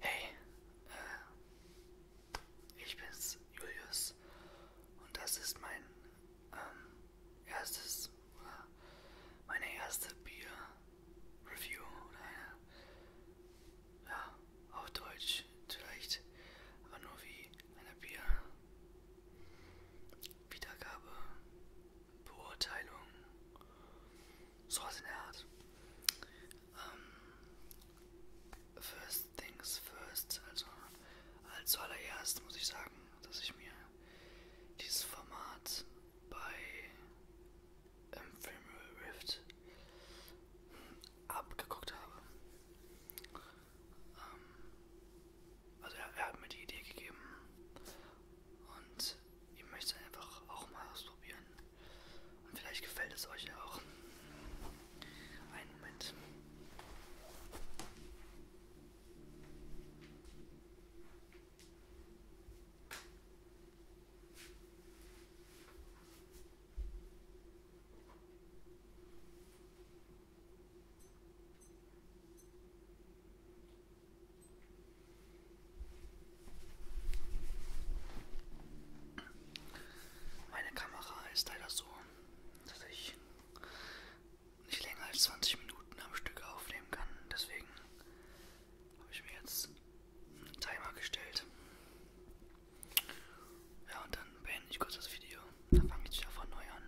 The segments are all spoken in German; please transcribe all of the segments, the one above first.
Hey, äh, ich bin's, Julius, und das ist mein ähm, erstes, äh, meine erste Bier-Review oder eine, ja, auf Deutsch vielleicht, aber nur wie eine Bier Wiedergabe, Beurteilung, sowas in der Art. Um, ähm, first things first, also als zuallererst muss ich sagen, dass ich mir dieses Format bei Ephemeral Rift abgeguckt habe. Ähm, also er, er hat mir die Idee gegeben und ich möchte es einfach auch mal ausprobieren. Und vielleicht gefällt es euch ja auch. Einen Moment. Meine Kamera ist leider so, dass ich nicht länger als 20 Minuten am Stück aufnehmen kann. Deswegen habe ich mir jetzt einen Timer gestellt. Ja, und dann beende ich kurz das Video. Dann fange ich wieder von neu an.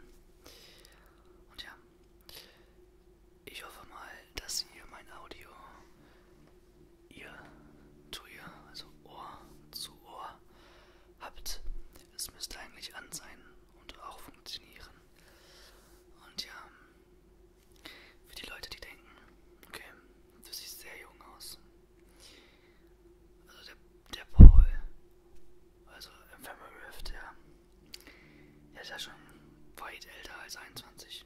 Und ja, ich hoffe mal, dass ihr mein Audio, ihr zu ihr, also Ohr zu Ohr, habt. Es müsste eigentlich an sein und auch funktionieren. Und ja, für die Leute, die denken, okay, du siehst sehr jung aus. Also der der Paul, also Infamous Rift, ja, der ist ja schon weit älter als 21.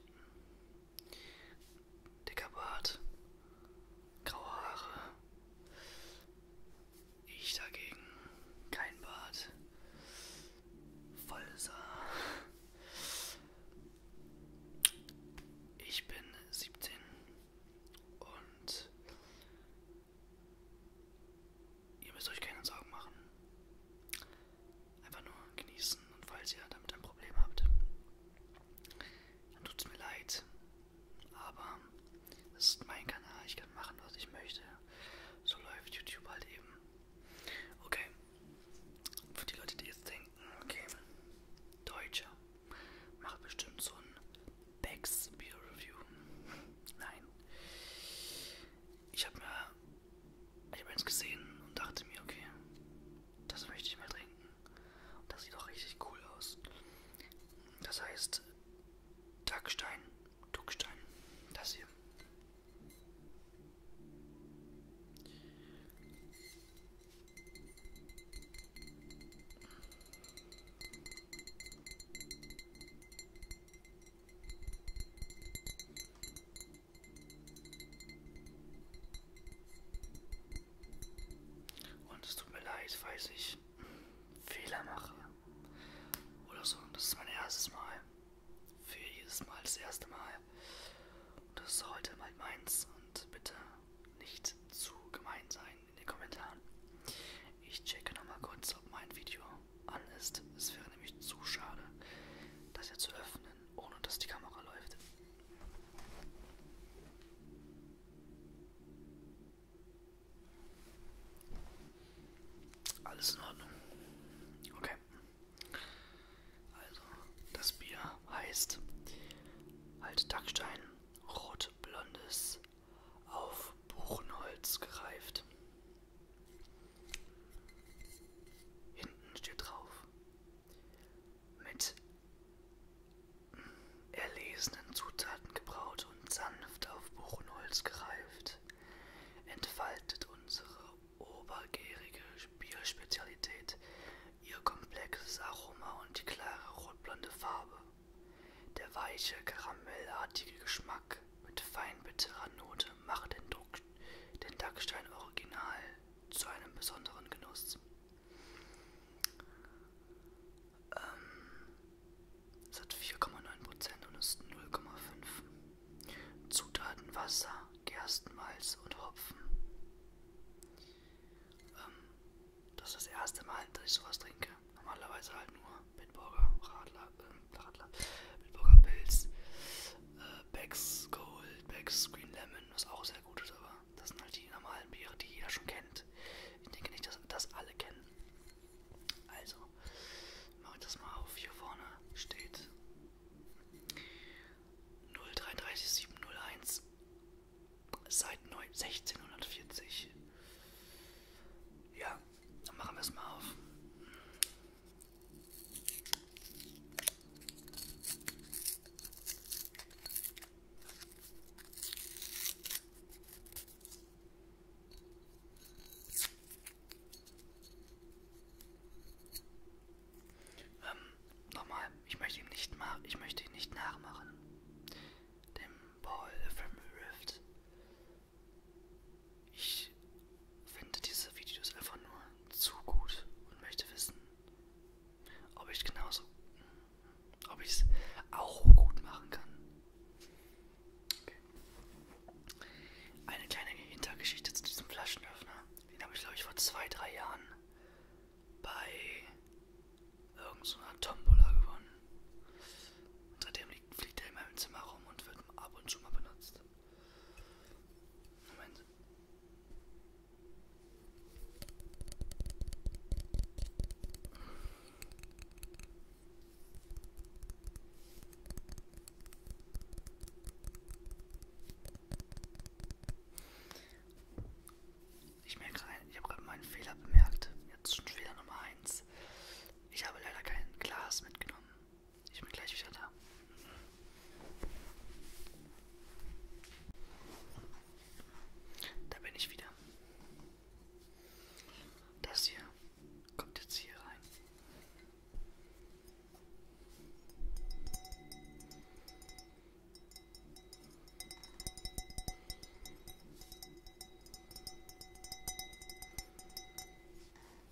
Dicker Bart, graue Haare. Ich dagegen, kein Bart, volles Haar. Ich bin 17 und Ihr müsst euch keine Sorgen machen. Einfach nur genießen und falls ihr damit ein Problem habt, dann tut es mir leid. Aber es ist mein Kanal, ich kann machen, was ich möchte. So läuft YouTube halt eben. Okay. Für die Leute, die jetzt denken, okay, Deutscher macht bestimmt so ein Becks Beer Review. Nein. Ich habe mir. Ich habe eins gesehen und dachte mir, okay, das möchte ich mal trinken. Und das sieht doch richtig cool aus. Das heißt, Duckstein, Duckstein, das hier. Und es tut mir leid, falls ich Fehler mache. Oder so. Und das ist mein erstes Mal. Für jedes Mal das erste Mal. Und das ist heute mal meins. Und bitte nicht zu gemein sein in den Kommentaren. Ich checke nochmal kurz, ob mein Video an ist. Es wäre nämlich zu schade, das hier zu öffnen, ohne dass die Kamera läuft. Alles in Ordnung. Okay. Also, das Bier heißt halt Dachstein Rot-Blondes auf Buchenholz gereift. Hinten steht drauf. Mit mm, erlesenen Zutaten gebraut und sanft auf Buchenholz gereift, entfaltet unsere obergärige Bierspezialität ihr komplexes Aroma und die klare rotblonde Farbe. Der weiche, karamellartige Geschmack Geschmack mit fein bitterer Note macht den, Druck, den Dachstein Original zu einem besonderen Genuss. Ähm, es hat 4,9% und ist 0,5. Zutaten Wasser, Gerstenmalz und Hopfen. Ähm, das ist das erste Mal, dass ich sowas trinke. Normalerweise halt nur Bitburger, Radler, äh, Radler, Bitburger Pilz, äh, Beck's Gold, Beck's Green Lemon, was auch sehr gut ist, aber das sind halt die normalen Biere, die jeder schon kennt. Ich denke nicht, dass das alle kennen. Also, mache ich das mal auf. Hier vorne steht 033701 seit 1640. Ja, dann machen wir es mal auf. Ähm, nochmal, ich möchte ihn nicht machen, ich möchte ihn nicht nachmachen. Dem Paul from Rift. Ich finde diese Videos einfach nur zu gut und möchte wissen, ob ich genauso, ob ich es auch gut machen kann. Okay. Eine kleine Hintergeschichte zu diesem Flaschenöffner. Den habe ich, glaube ich, vor zwei, drei Jahren bei irgendeiner so Tombola gewonnen. Seitdem liegt, fliegt er in meinem Zimmer rum und wird ab und zu mal benutzt. Moment. Ich merke gerade, ich habe gerade meinen Fehler bemerkt. Jetzt schon Fehler Nummer 1. Ich habe leider kein Glas mitgenommen. Ich bin gleich wieder da. Da bin ich wieder. Das hier kommt jetzt hier rein.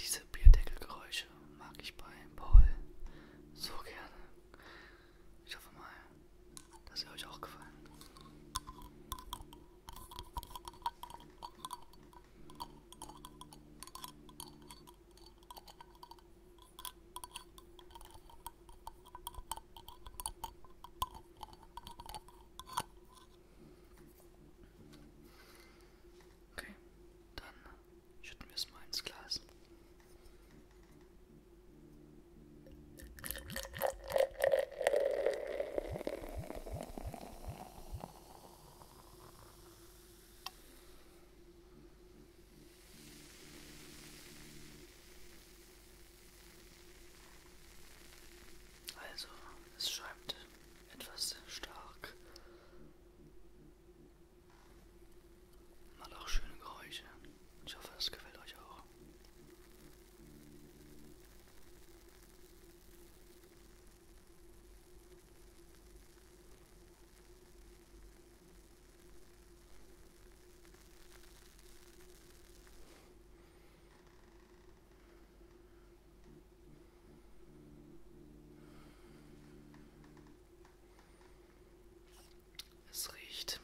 Diese Bierdeckelgeräusche mag ich bei Paul so gerne. Ich hoffe mal, dass sie euch auch gefallen. Okay, dann schütten wir es mal ins Glas. Also, es schäumt etwas stark. Mal auch schöne Geräusche. Ich hoffe, es gefällt euch auch. Es riecht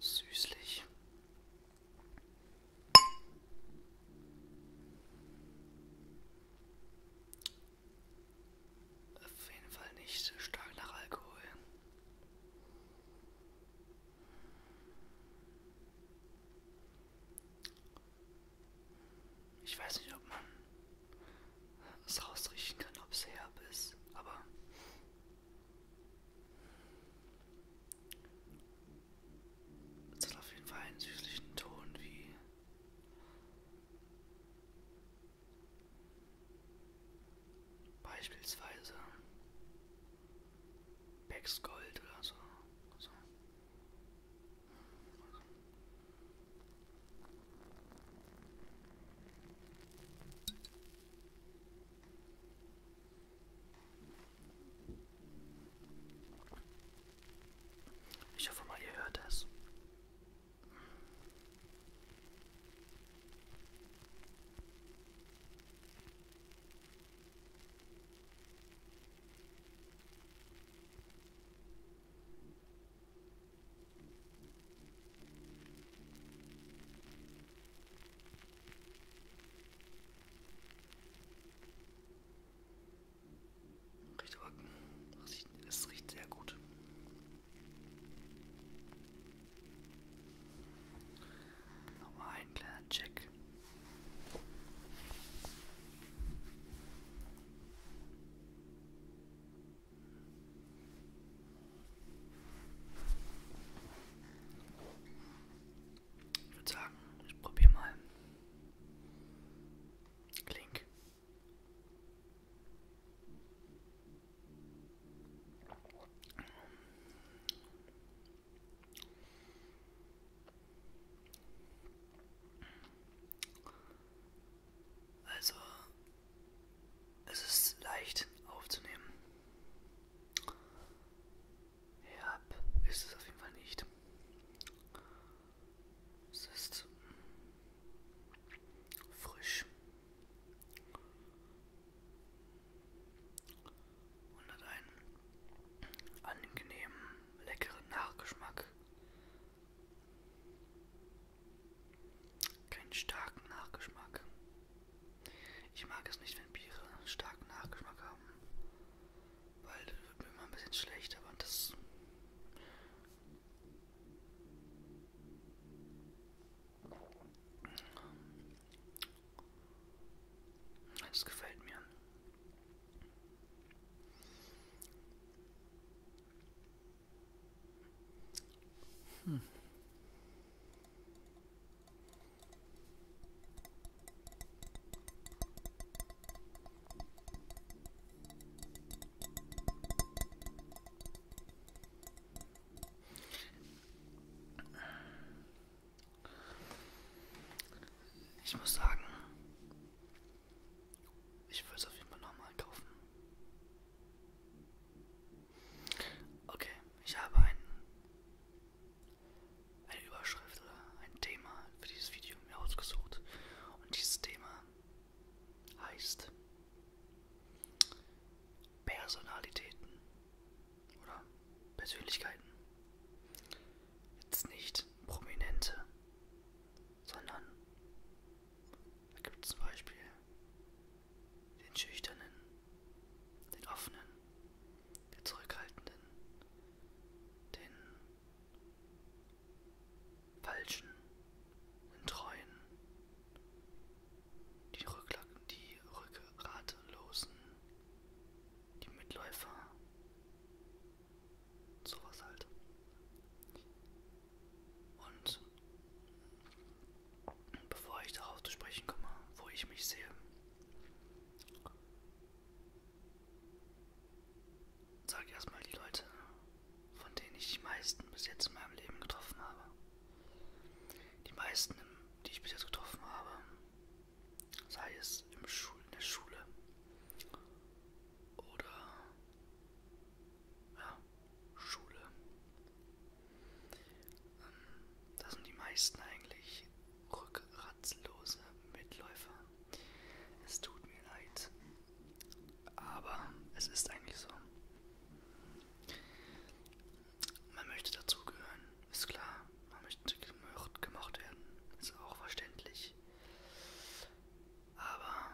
süßlich. Auf jeden Fall nicht stark nach Alkohol. Ich weiß nicht, ob man es rausriechen kann, ob es herb ist, aber es hat auf jeden Fall einen süßlichen Ton wie beispielsweise Becks Gold oder so. so. Ich hoffe mal, ihr hört das. Riecht aber, es riecht sehr gut. Nochmal einen kleinen Check. Ich würde sagen, ich probiere mal. Klink. Also, es ist leicht aufzunehmen. Ja, ist es auf jeden Fall nicht. Es ist frisch und hat einen angenehmen, leckeren Nachgeschmack. Keinen starken Nachgeschmack. Ich mag es nicht, wenn Biere einen starken Nachgeschmack haben. Weil das wird mir immer ein bisschen schlecht, aber das. Das gefällt mir. Hm. Ich muss sagen, ich würde es auf jeden Fall nochmal kaufen. Okay, ich habe ein, eine Überschrift oder ein Thema für dieses Video mir ausgesucht. Und dieses Thema heißt Personalitäten oder Persönlichkeiten jetzt nicht prominente, sondern da gibt es zum Beispiel den schüchternen, den offenen, den zurückhaltenden, den falschen, den treuen, die, Rückla die rückgratlosen, die Mitläufer, Sowas halt. Und bevor ich darauf zu sprechen komme, wo ich mich sehe, sage erstmal die Leute, von denen ich die meisten bis jetzt in meinem Leben getroffen habe. Die meisten, die ich bis jetzt getroffen habe, sei es im Schul in der Schule oder ja, Schule. Ähm, das sind die meisten eigentlich rückgratlose Mitläufer. Es tut mir leid, aber es ist eigentlich so. Man möchte dazugehören, ist klar man möchte gemocht, gemocht werden, ist auch verständlich. Aber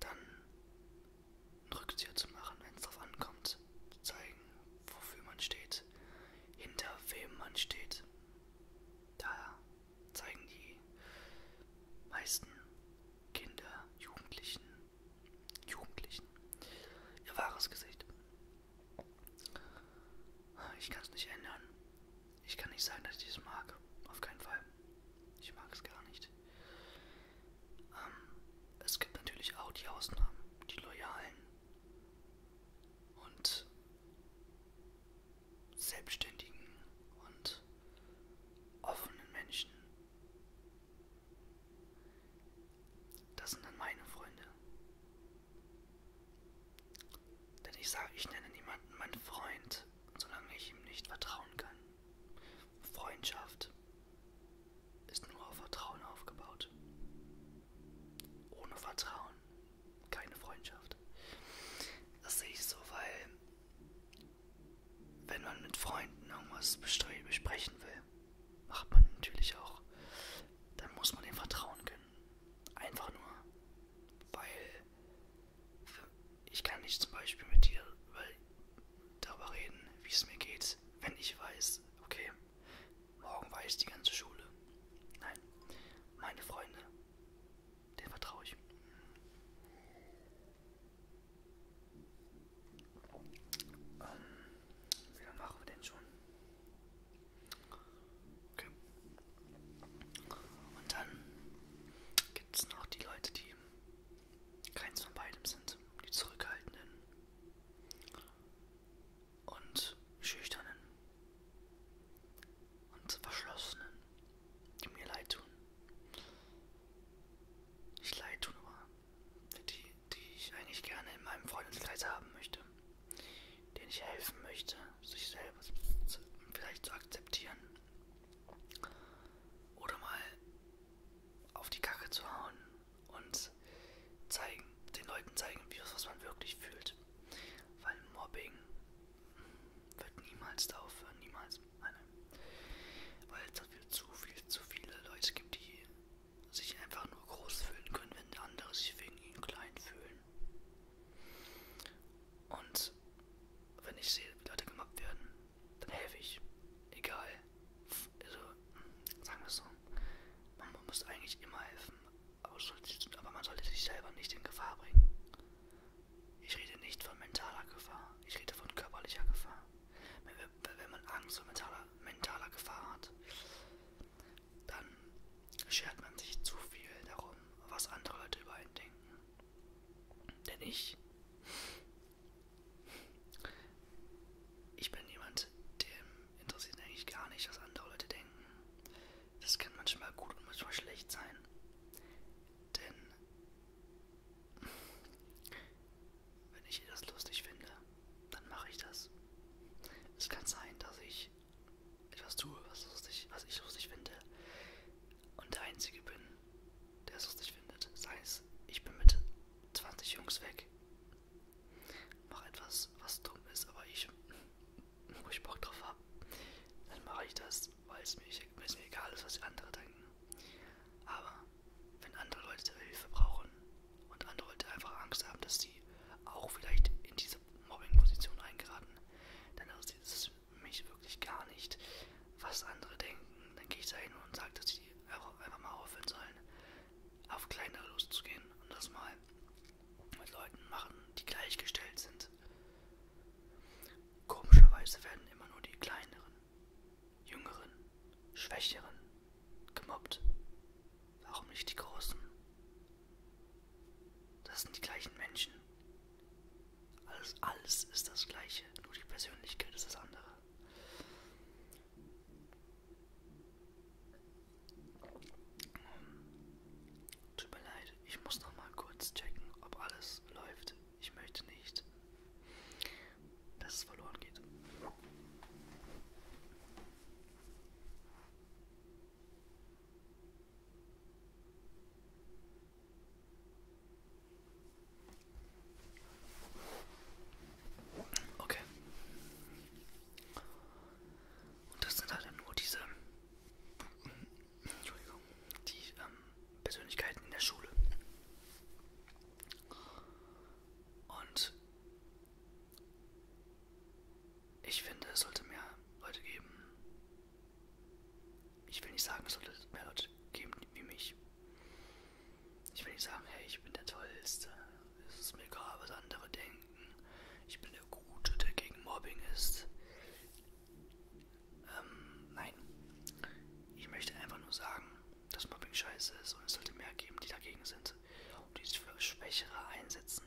dann einen Rückzieher zu machen, wenn es darauf ankommt, zu zeigen, wofür man steht, hinter wem man steht, da zeigen die meisten Kinder, Jugendlichen, Jugendlichen ihr wahres Gesicht. Ich kann es nicht ändern. Ich kann nicht sagen, dass ich es mag. Auf keinen Fall. Ich mag es gar nicht. Ähm, es gibt natürlich auch die Ausnahmen, die Loyalen und Selbstständigen und offenen Menschen. Das sind dann meine Freunde. Denn ich sage, ich nenne niemanden meinen Freund, solange ich ihm nicht vertrauen kann. Freundschaft ist nur auf Vertrauen aufgebaut. Ohne Vertrauen keine Freundschaft. Das sehe ich so, weil wenn man mit Freunden irgendwas besprechen will, macht man natürlich auch, dann muss man dem vertrauen können. Einfach nur, weil ich kann nicht zum Beispiel mit dir darüber reden, wie es mir geht, wenn ich weiß, okay, morgen weiß die ganze Schule. Nein, meine Freunde, denen vertraue ich. Ähm, wie lange machen wir denn schon? Okay. Und dann gibt es noch die Leute, die keins von beidem sind. Die Zurückhaltenden und Schüchternen und Verschlossenen, die mir leid tun. Nicht leid tun, aber die, die ich eigentlich gerne in meinem Freundeskreis haben möchte denen ich helfen möchte, sich selbst zu, vielleicht zu akzeptieren oder mal auf die Kacke zu hauen und zeigen, den Leuten zeigen, wie das, was man wirklich fühlt. Weil Mobbing wird niemals da aufhören, niemals. Nein, nein. Weil es dafür zu viel, zu viele Leute gibt, die sich einfach nur groß fühlen können, wenn andere sich wegen ihnen klein fühlen. Und wenn ich sehe, wie Leute gemobbt werden, dann helfe ich. Egal. Also, hm, sagen wir es so. Man muss eigentlich immer helfen, aber, aber man sollte sich selber nicht in Gefahr bringen. Ich rede nicht von mentaler Gefahr, ich rede von körperlicher Gefahr. Wenn, wenn man Angst vor mentaler, mentaler Gefahr hat, dann schert man sich zu viel darum, was andere Leute über einen denken. Denn ich, ich bin jemand, dem interessiert eigentlich gar nicht, was andere Leute denken. Das kann manchmal gut und manchmal schlecht sein. Denn wenn ich das lustig finde, dann mache ich das. Es kann sein, dass ich etwas tue, was lustig, was ich lustig finde und der Einzige bin, der es lustig findet. Sei das heißt, es, ich bin mit 20 Jungs weg, mache etwas, was dumm ist, aber ich, wo ich Bock drauf habe, dann mache ich das, weil es mir, es mir egal ist, was andere denken. Aber wenn andere Leute Hilfe brauchen und andere Leute einfach Angst haben, dass sie auch vielleicht in diese Mobbing-Position eingeraten, dann ist dieses mich wirklich gar nicht, was andere denken. Dann gehe ich dahin und sage, dass die einfach mal aufhören sollen, auf kleinere loszugehen und das mal mit Leuten machen, die gleichgestellt sind. Komischerweise werden immer nur die kleineren, jüngeren, schwächeren gemobbt. Warum nicht die großen? Das sind die gleichen Menschen. Alles, alles ist das Gleiche, nur die Persönlichkeit ist das andere. Tut mir leid, ich muss noch mal kurz checken, ob alles läuft. Ich möchte nicht, dass es verloren geht. Okay. Und das sind halt nur diese Entschuldigung, die ähm, Persönlichkeiten in der Schule. Und ich finde, es sollte mehr Leute geben, ich will nicht sagen, es sollte mehr Leute geben wie mich. Ich will nicht sagen, hey, ich bin der Tollste. Es ist mir egal, was andere denken. Ich bin der Gute, der gegen Mobbing ist. Ähm, nein. Ich möchte einfach nur sagen, dass Mobbing scheiße ist und es sollte mehr geben, die dagegen sind und die sich für Schwächere einsetzen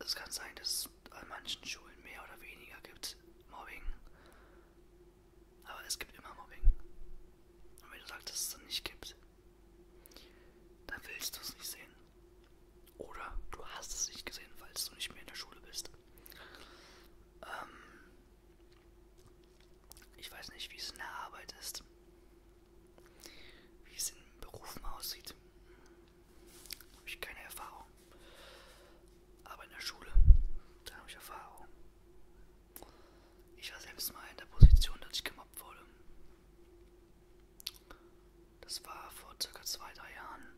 es kann sein, dass es an manchen Schulen mehr oder weniger gibt Mobbing. Aber es gibt immer Mobbing. Und wenn du sagst, dass es dann nicht gibt, dann willst du es nicht sehen. Oder du hast es nicht gesehen, falls du nicht mehr in der Schule bist. Ähm, ich weiß nicht, wie es in der Arbeit ist, wie es in Berufen aussieht habe ich keine Erfahrung. Aber in der Schule, da habe ich Erfahrung. Ich war selbst mal in der Position, dass ich gemobbt wurde. Das war vor circa zwei, drei Jahren.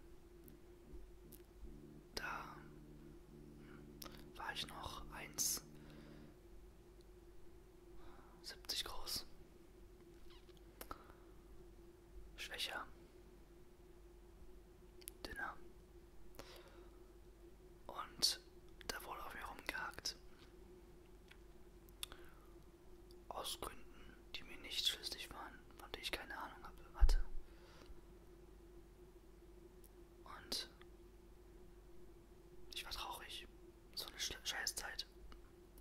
Da war ich noch 1,70 groß schwächer, dünner. Und da wurde auf mir rumgehackt. Aus Gründen, die mir nicht schlüssig waren, von denen ich keine Ahnung hatte. Und ich war traurig. So eine Scheißzeit.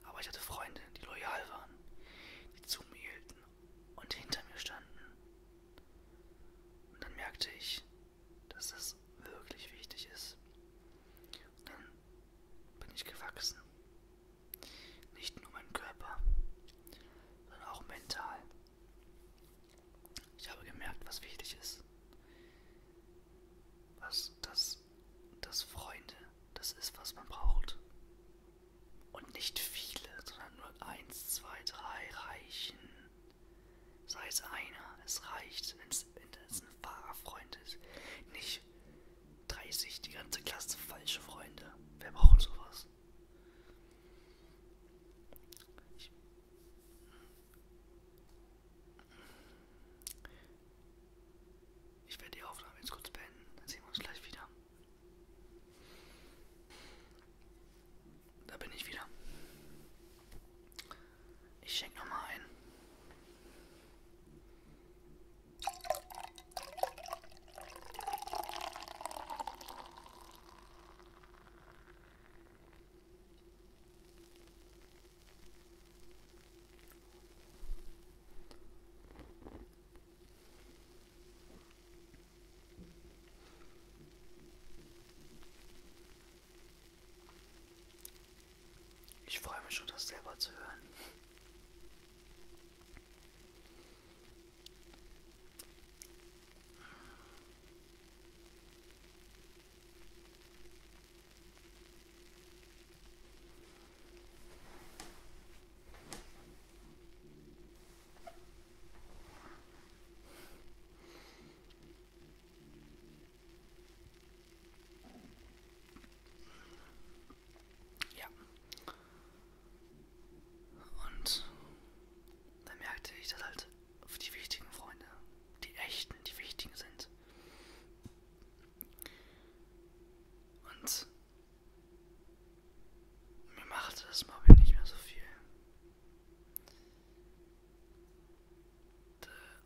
Aber ich hatte Freunde, die loyal waren, die zu mir hielten und hinter mir standen. Und dann merkte ich, dass das wirklich wichtig ist. Und dann bin ich gewachsen. Nicht nur mein Körper, sondern auch mental. Ich habe gemerkt, was wichtig ist. Was das, das Freunde, das ist, was man braucht. Und nicht viele, sondern nur eins, zwei, drei reichen. Sei es einer, es reicht, wenn es ein wahrer Freund ist. Nicht 30, die ganze Klasse falsche Freunde. Wer braucht sowas? Ich ich werde die Aufnahme jetzt kurz beenden, dann sehen wir uns gleich wieder. Da bin ich wieder. Ich schenke nochmal ein. Ich freue mich schon, das selber zu hören. Ja. Und dann merkte ich, dass halt auf die wichtigen Freunde, die echten, die wichtigen sind. Und mir machte das Mobbing nicht mehr so viel.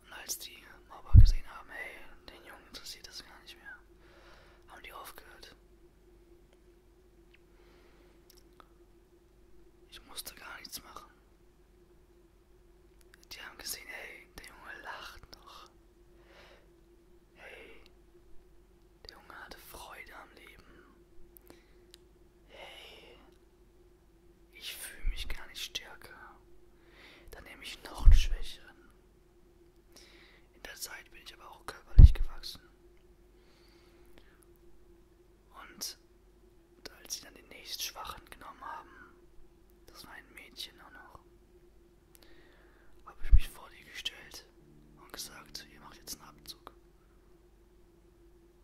Und als die Mobber gesehen haben, hey, den Jungen interessiert das gar nicht mehr, haben die aufgehört. Ich musste gar nichts machen. Die haben gesehen, hey, der Junge lacht noch. Hey, der Junge hatte Freude am Leben. Hey, ich fühle mich gar nicht stärker. Dann nehme ich noch einen schwächeren. In der Zeit bin ich aber auch körperlich gewachsen. Und als sie dann den nächsten Schwachen genommen haben, das war ein Mädchen auch noch, habe ich mich vor die gestellt. Gesicht und gesagt, ihr macht jetzt einen Abzug.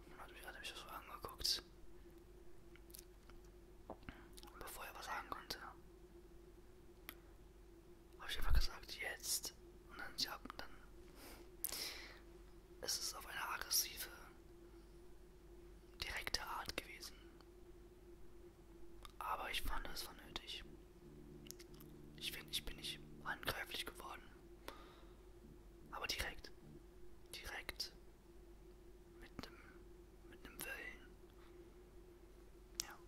Und dann hat mich, hat er mich so angeguckt. Und bevor er was sagen konnte, habe ich einfach gesagt, jetzt. Und dann, ja, dann ist es auf eine aggressive, direkte Art gewesen. Aber ich fand, es war nötig. Ich finde, ich bin nicht angreiflich geworden. Aber direkt. Direkt. Mit einem mit nem Willen. Ja.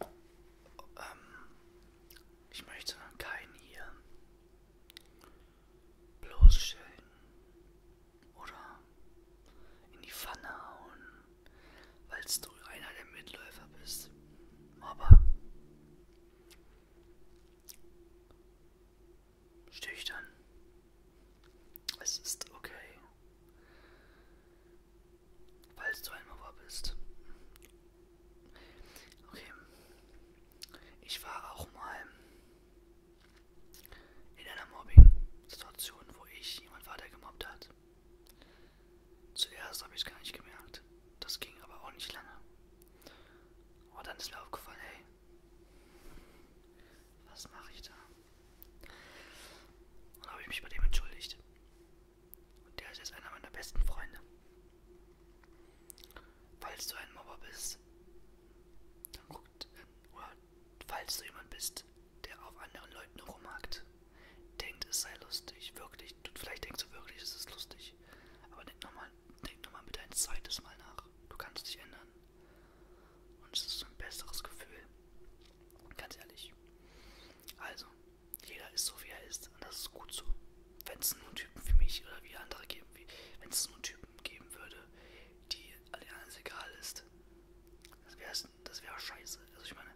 Ähm, ich möchte keinen hier bloßstellen oder in die Pfanne hauen, weil du einer der Mitläufer bist. Aber stüchtern. Es ist okay. Falls du ein Mauer bist. Okay. Ich war auch mal in einer Mobbing-Situation, wo ich jemand weiter gemobbt hat. Zuerst habe ich es gar nicht gemerkt. Das ging aber auch nicht lange. Und dann ist mir aufgefallen, hey, was mache ich da? Und dann habe ich mich bei dem entschuldigt. Und der ist jetzt einer meiner besten Freunde. Falls du ein Mobber bist, dann guckt, oder falls du jemand bist, der auf anderen Leuten rumhackt, denkt, es sei lustig, wirklich, du, vielleicht denkst du wirklich, es ist lustig, aber denk nochmal, denk nochmal bitte ein zweites Mal nach. Du kannst dich ändern. Und es ist ein besseres Gefühl, Ganz ehrlich. Also, jeder ist so, wie er ist. Und das ist gut so. Wenn es nur Typen für mich oder wie andere geben, wenn es nur Typen geben würde, die alle anderen egal ist, das wäre das wär scheiße. Also ich meine,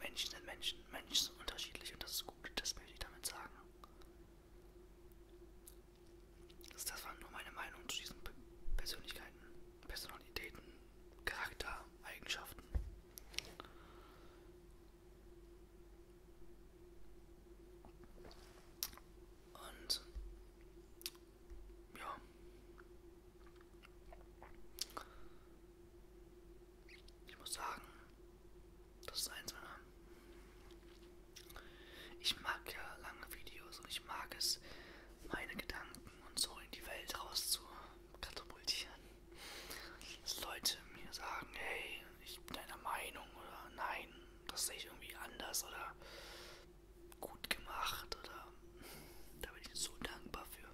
Menschen sind Menschen. Menschen sind unterschiedlich und das ist gut. Das möchte ich damit sagen. Das, das war nur meine Meinung zu diesen Persönlichkeiten. Personalitäten, Charakter, Eigenschaften. Und ja. Ich muss sagen, das ist eins meiner. Ich mag ja lange Videos und ich mag es, meine Gedanken und so in die Welt rauszuholen katapultieren. Dass Leute mir sagen, hey, ich bin deiner Meinung oder nein, das sehe ich irgendwie anders oder gut gemacht oder da bin ich so dankbar für.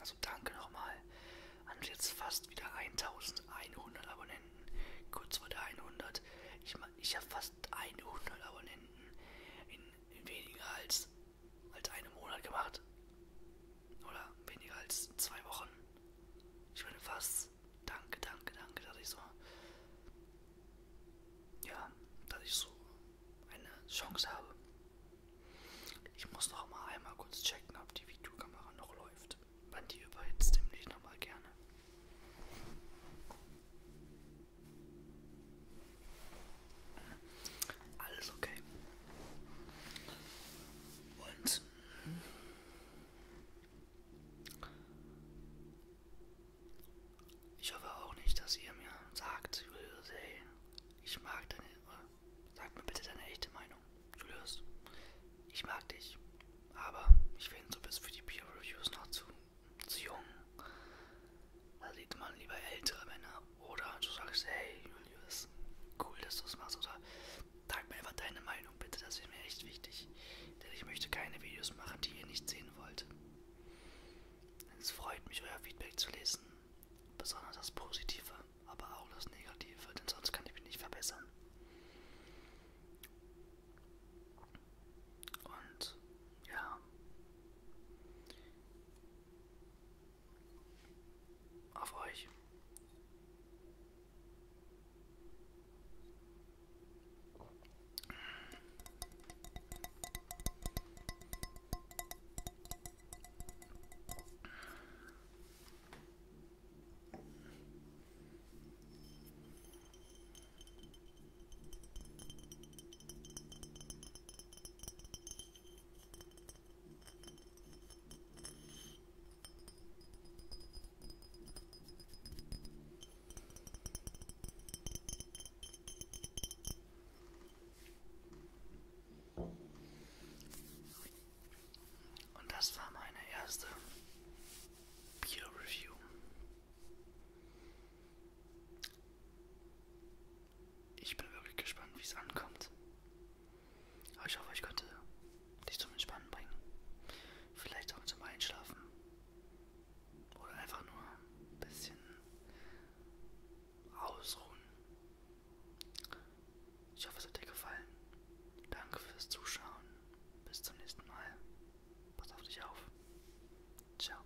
Also danke nochmal an jetzt fast wieder 1100 Abonnenten, kurz vor der 100. Ich, ich habe fast 100 Abonnenten in weniger als halt einen Monat gemacht. Oder weniger als zwei Wochen. Ich meine fast. Danke, danke, danke, dass ich so. Ja, dass ich so eine Chance habe. Ich muss noch mal einmal kurz checken, ob die Videokamera noch läuft. Wann die überhitzt, nämlich noch mal gerne. Alles okay. Und ich hoffe auch nicht, dass ihr mir sagt, Julius, hey, ich mag deine, sag mir bitte deine echte Meinung, Julius. Ich mag dich, aber ich finde, du bist für die Peer Reviews noch zu, zu jung. Da sieht man lieber ältere Männer oder du sagst, hey Julius, cool, dass du es machst. Oder sag mir einfach deine Meinung bitte, das wäre mir echt wichtig. Denn ich möchte keine Videos machen, die ihr nicht sehen wollt. Es freut mich, euer Feedback zu lesen. Besonders das Positive, aber auch das Negative, denn sonst kann ich mich nicht verbessern. Und ja. Auf euch. Und das war meine erste Peer Review. Ich bin wirklich gespannt, wie es ankommt. Aber ich hoffe, ich konnte dich zum Entspannen bringen. Vielleicht auch zum Einschlafen. Oder einfach nur ein bisschen ausruhen. Ich hoffe, es hat dir gefallen. Danke fürs Zuschauen. Bis zum nächsten Mal. Pass auf dich auf. Ciao.